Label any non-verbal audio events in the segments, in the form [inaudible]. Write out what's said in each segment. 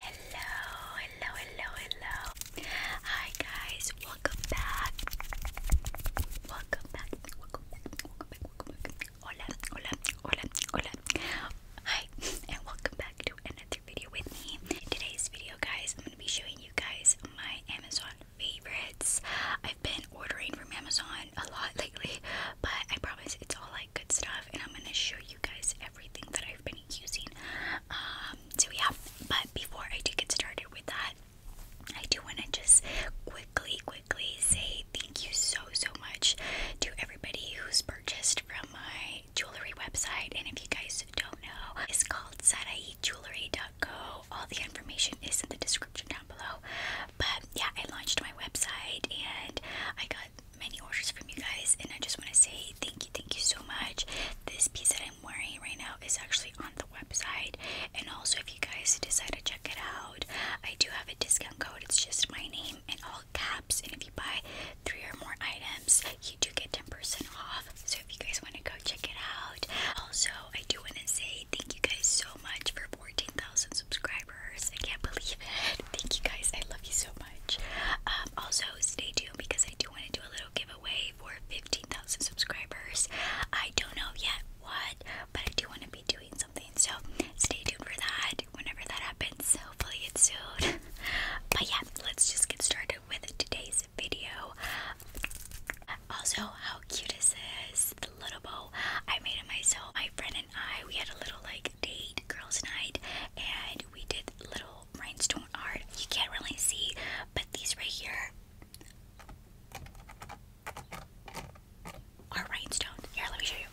Hello, hello, hello, hello. Hi guys, welcome back. Welcome back. Welcome back. Welcome back. Welcome back. Hola, hola, hola, hola. Hi, and welcome back to another video with me. In today's video, guys, I'm going to be showing you guys my Amazon favorites. I've been ordering from Amazon a lot [laughs] lately, but I promise it's all like good stuff and I'm going to show you guys everything that I've been using. Um, so yeah, but before I do get started with that, I do want to just quickly, quickly say thank you so, so much to everybody who's purchased from my jewelry website. And if you guys don't know, it's called sadaiijewelry.co. All the information is in the description down below. But yeah, I launched my website and I got many orders from you guys, and I just want to say thank you, thank you so much. This piece that I'm wearing right now is actually on the website, and also if you guys decide to check it out, I do have a discount code. It's just my name in all caps, and if you buy three or more items, you do get 10% off. So if you guys want to go check it out, also I do want to say thank you guys so much for 14,000 subscribers subscribers. I can't believe it. Thank you guys. I love you so much. Um, also, stay tuned because I do want to do a little giveaway for 15,000 subscribers. I don't know yet what, but I do want to be doing something. So stay tuned for that whenever that happens. Hopefully, it's soon. [laughs] but yeah, let's just get started with today's video. Also, how cute is this? The little bow I made it myself. My friend and I, we had a little like date, girls' night, and we did little rhinestone art. You can't really see, but these right here are rhinestone. Here, let me show you.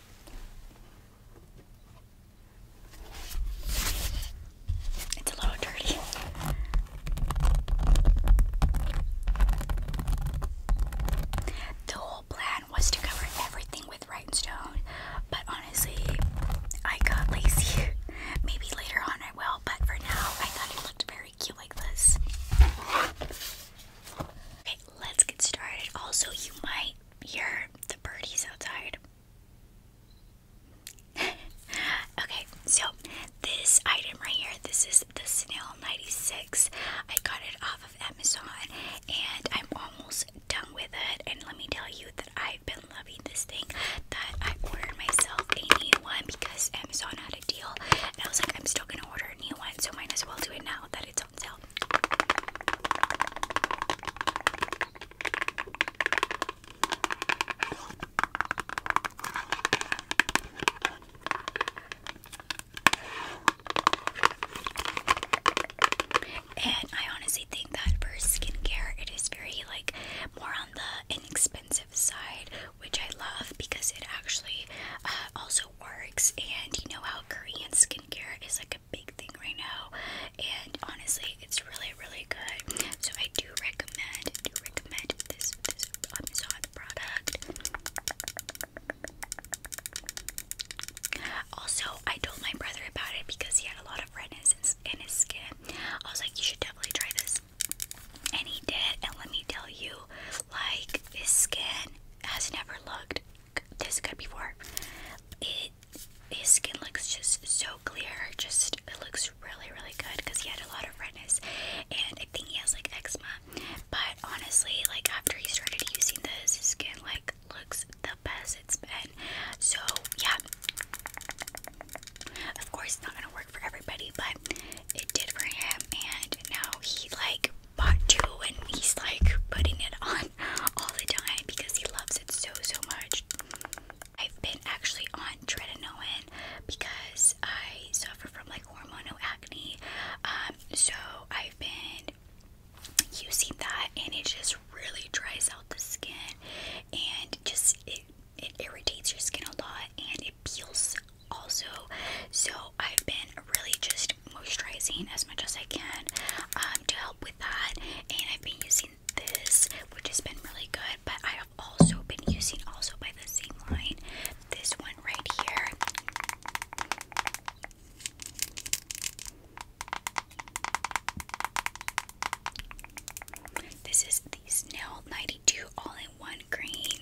It's a little dirty. The plan was to cover everything with rhinestone, but honestly, I got lazy. [laughs] Maybe later on I will, but for now, I thought it looked very cute like this. Okay, let's get started. Also, you might hear the birdies outside. [laughs] okay, so this item right here, this is the Snail 96 I got it off of Amazon and I'm almost done with it. And let me tell you that I've been loving this thing that I ordered myself a new one because Amazon had a deal. And I was like, I'm still gonna order a new one, so might as well do it now that it's on sale. And I honestly think that for skincare, it is very like more on the inexpensive side, which I love because it actually uh, also works. And you know how Korean skincare is like a big thing right now, and honestly, it's really really good. So I do recommend do recommend this this Amazon um, product. Also, I told my brother about it because he had a lot of redness in his skin. I was like, you should definitely try this. And he did, and let me tell you, like, his skin has never looked this good before. It his skin looks just so clear, just it looks really, really good because he had a lot of redness, and I think he has like eczema. But honestly, like after he started using this, his skin like looks the best it's been. So yeah. Of course, not gonna work for everybody, but it did for him. And now he like bought two, and he's like putting it on [laughs] all the time because he loves it so so much. I've been actually on tretinoin because I suffer from like hormonal acne. Um, so I've been using that and it just really dries out the skin and just it, it irritates your skin a lot and it peels also so I've been really just moisturizing as much as I can um, to help with that and I've been using this which has been really good but I have also been using also by the same line this one right here. This is the Snail 92 all in one green.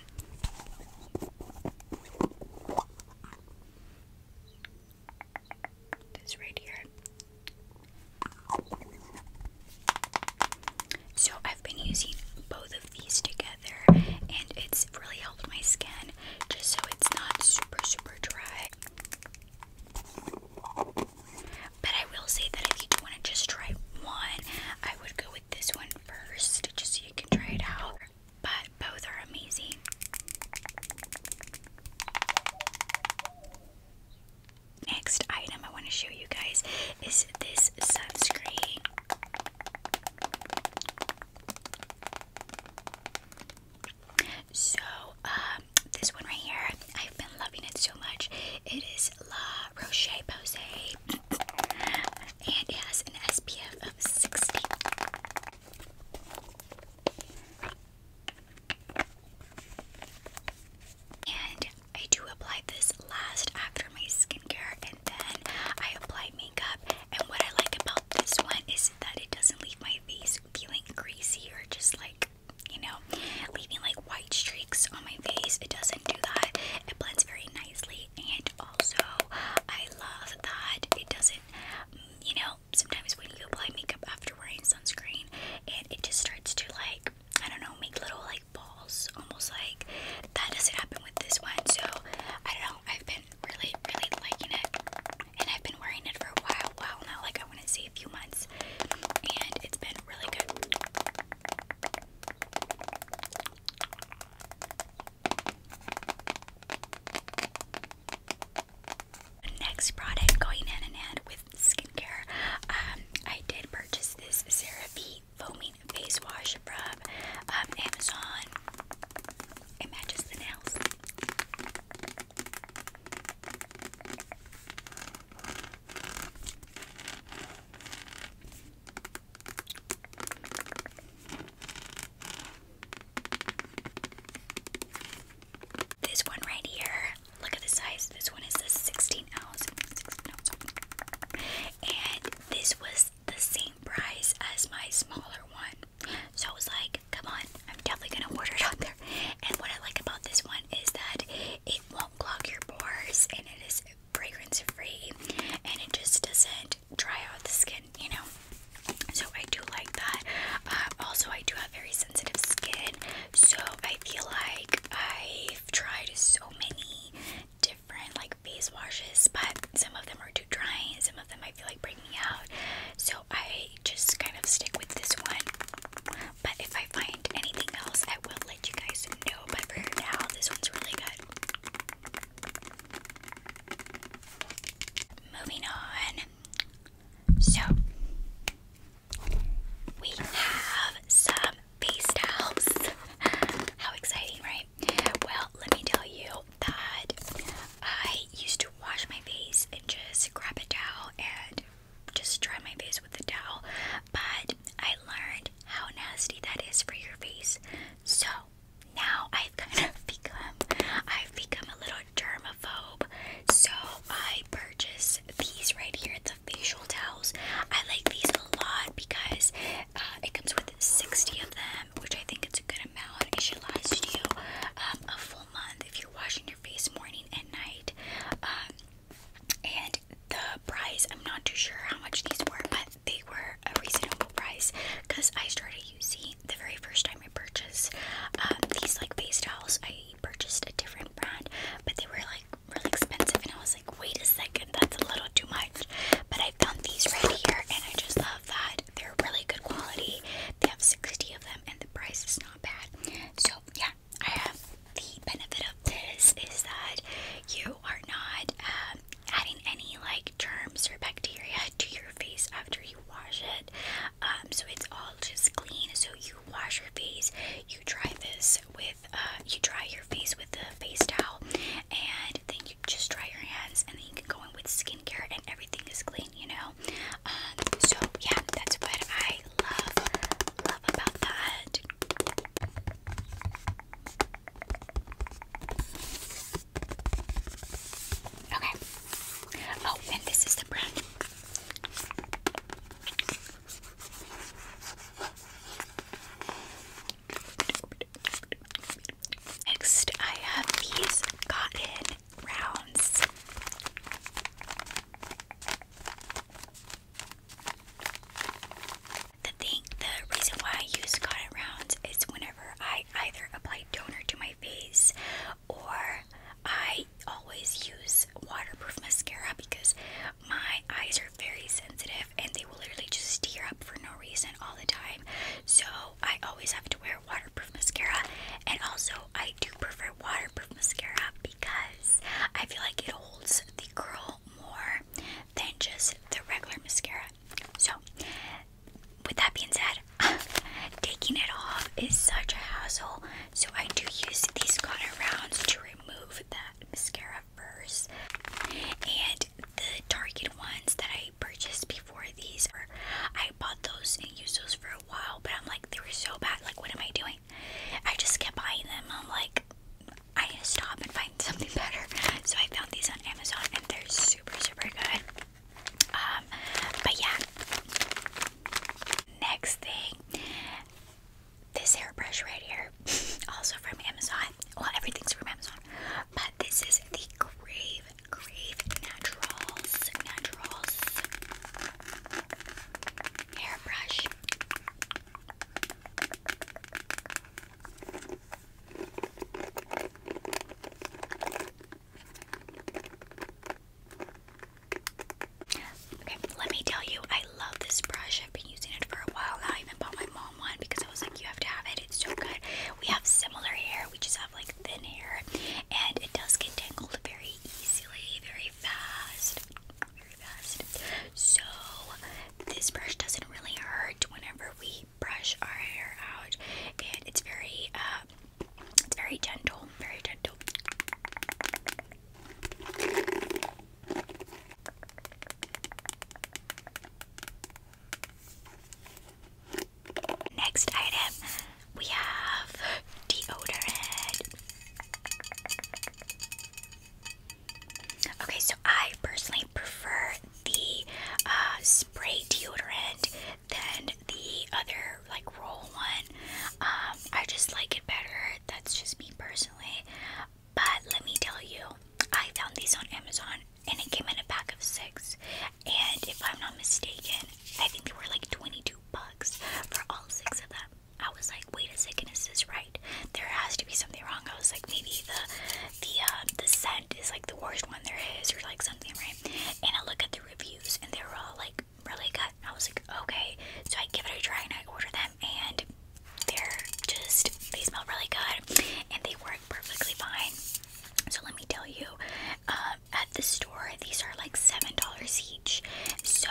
This right here. So I've been using both these together and it's really helped my skin just so it's not super super dry. But I will say that if you want to just try one, I would go with this one first just so you can try it out. But both are amazing. Next item I want to show you guys is this sunscreen. So, um, this one right here, I've been loving it so much. It is La Roche Posay, and it has an SPF of 60. And I do apply this last after my skincare, and then I apply makeup. And what I like about this one is that it doesn't leave my face feeling greasy or just like, you know, leaving like white streaks on my face. It doesn't do that. It blends very nicely. And also, I love that it doesn't, you know, sometimes when you apply makeup after wearing sunscreen, and it just starts to like, I don't know, make little like balls, almost like that doesn't happen with this one. So I don't know. I've been really, really liking it, and I've been wearing it for a while, while now. Like I want to say a few months, and it's been really good. Next product going hand in hand with skincare. Um, I did purchase this CeraVe the foaming face wash from um, Amazon. It matches the nails. This one right here, look at the size. This one is a 16 ounce, and this was the same price as my smaller one. So I was like, come on, I'm definitely gonna order it on there. And what I like about this one is that it won't clog your pores and it is fragrance free and it just doesn't dry out the skin, you know. So I do like that. Uh, also, I do have very sensitive skin, so I feel like I I've tried so many different like face washes, but some of them are too drying. some of them I feel like breaking out. So I just kind of stick with this one. But if I find anything else, I will let you guys know. But for now, this one's really good. Moving on. So, we have some feast house. [laughs] How exciting, right? Well, let me tell you that I used to wash my face and just grab a towel and just dry my face with a towel, but I learned how nasty that is for your face. So now I've kind of [laughs] become I've become a little germaphobe. So I purchase these right here, the facial towels. I like these a lot because uh, it comes with 60 of them, which I think it's a good amount. It should last you um, a full month if you're washing your face morning and night. Um, and the price, I'm not too sure how much these were, but they were a reasonable price because I started using the very first time I purchased um, these like face towels. I purchased a different brand, but they were like really expensive and I was like, wait a second, that's a little too much. But I found these right here and I just love that. They're really good quality. They have 60 of them and the price is not bad. So yeah, I have the benefit of this is that you are not um, adding any like germs or bacteria to your face after you wash it. Um, so it's all just clean. So you wash your face, you dry this with, uh, you dry your face with the face towel, and then you just dry your hands, and then you can go in with skincare, and everything is clean, you know. Um, so yeah, that's what I love, love about that. Okay. Oh, and this is the brand. Next, I have these cotton rounds. The thing, the reason why I use cotton rounds is whenever I either apply toner to my face or I always use waterproof mascara because my eyes are very sensitive and they will literally just tear up for no reason all the time. So I always have to wear waterproof mascara, and also I do prefer waterproof mascara because I feel like it holds the curl more than just the regular mascara. So, with that being said, [laughs] taking it off is such a hassle so I do use these cotton rounds to remove that mascara first. And the Target ones that I purchased before these, were, I bought those and used those for a while, but I'm like, they were so bad. Like, what am I doing? I just kept buying them. I'm like, I need to stop and find [laughs] something better. So I found these on Amazon and they're super, super good. Um, but yeah, Next thing, this hairbrush right here, [laughs] also from Amazon. Well, everything's from Amazon, but this is the Grave Grave Naturals Naturals hairbrush. Okay, let me tell you, I love this brush. I've been using it for a while now. I even bought my mom one because I was like, you have to have it. It's so good. We have similar hair. We just have like thin hair, and it does get tangled very easily, very fast, very fast. So this brush doesn't really hurt whenever we brush our hair out, and it's very uh, it's very gentle, very gentle. Next item, we have deodorant. Okay, so I personally prefer the uh, spray deodorant than the other like roll one. Um, I just like it better. That's just me personally. But let me tell you, I found these on Amazon and it came in a pack of six. And if I'm not mistaken, I think they were like 22 bucks for all six of them. I was like, wait a second, is this right? There has to be something wrong. I was like, maybe the the um, the scent is like the worst one there is, or like something, right? And I look at the reviews and they were all like really good. I was like, okay. So I give it a try and I order them and they're just they smell really good and they work perfectly fine. So let me tell you, um, at the store these are like seven dollars each. So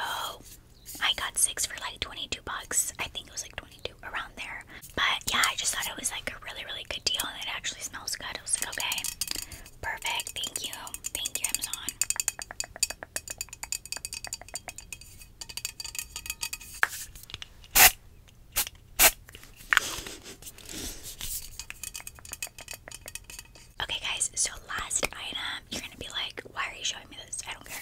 I got six for like 22 bucks. I think it was like 22 around there. But yeah, I just thought it was like a really, really good deal and it actually smells good. It was like, okay, Perfect. Thank you. Thank you, Amazon. Okay, guys, so last item, you're gonna be like, why are you showing me this? I don't care.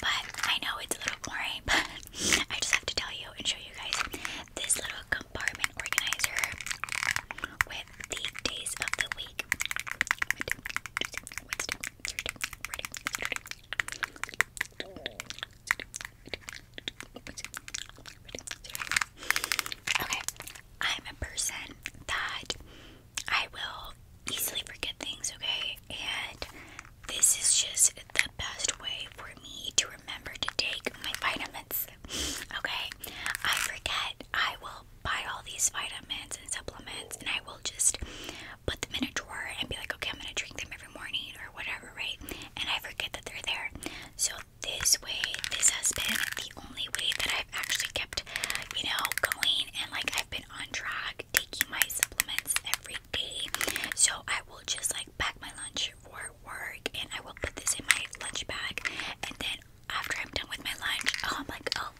But I know it's a little boring, [laughs] but I just have to tell you and show you guys this little compartment organizer with the days of the week. Okay, I'm a person that I will easily forget things, okay? And this is just the best way for me to remember to take my vitamins. Okay, I forget. I will buy all these vitamins and supplements, and I will just put them in a drawer and be like, okay, I'm gonna drink them every morning or whatever, right? And I forget that they're there. So this way, this has been the only way that I've actually kept, you know, going and like I've been on track taking my supplements every day. So I will just like pack my lunch for work and I will put this in my lunch bag and then after I'm done with my lunch, oh I'm like, oh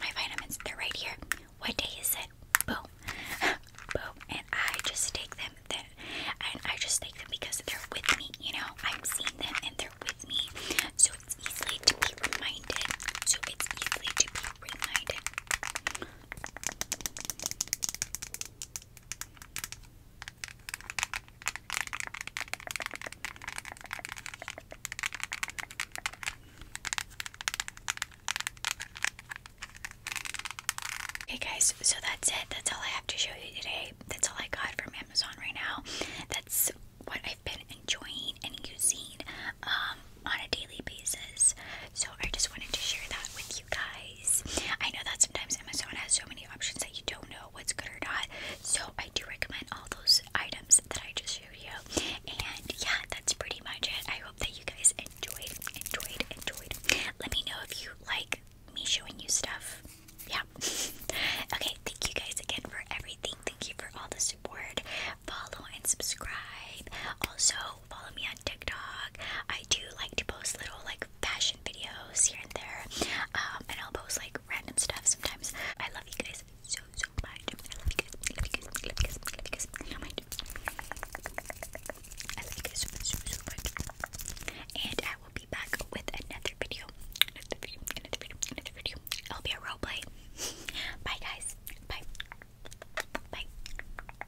my vitamins, they're right here. What day is it? Boom. [laughs] Boom. And I just take them then and I just take them because they're with me, you know. I'm seeing them and they're with me. So it's easy to be reminded. So it's easy to be reminded. Okay guys, so that's it. That's all I have to show you today. That's all I got from Amazon right now. That's what I've been enjoying and using um, on a daily basis. So I just wanted to share that with you guys. I know that sometimes Amazon has so many options that you don't know what's good or not. So I do recommend all those items that I just showed you. And yeah, that's pretty much it. I hope that you guys enjoyed, enjoyed, enjoyed. Let me know if you like me showing you stuff. Yeah. [laughs] okay, thank you guys again for everything. Thank you for all the support. Follow and subscribe. Also, follow me on TikTok. I do like to post little like fashion videos here and there, um, and I'll post like random stuff sometimes. I love you guys so so much. I love you guys. I love you guys. I love you guys. I love you guys. I love you guys, I love you guys so much, so so much. And I will be back with another video. Another video. Another video. Another video. It'll be a role play. Bye guys. Bye. Bye.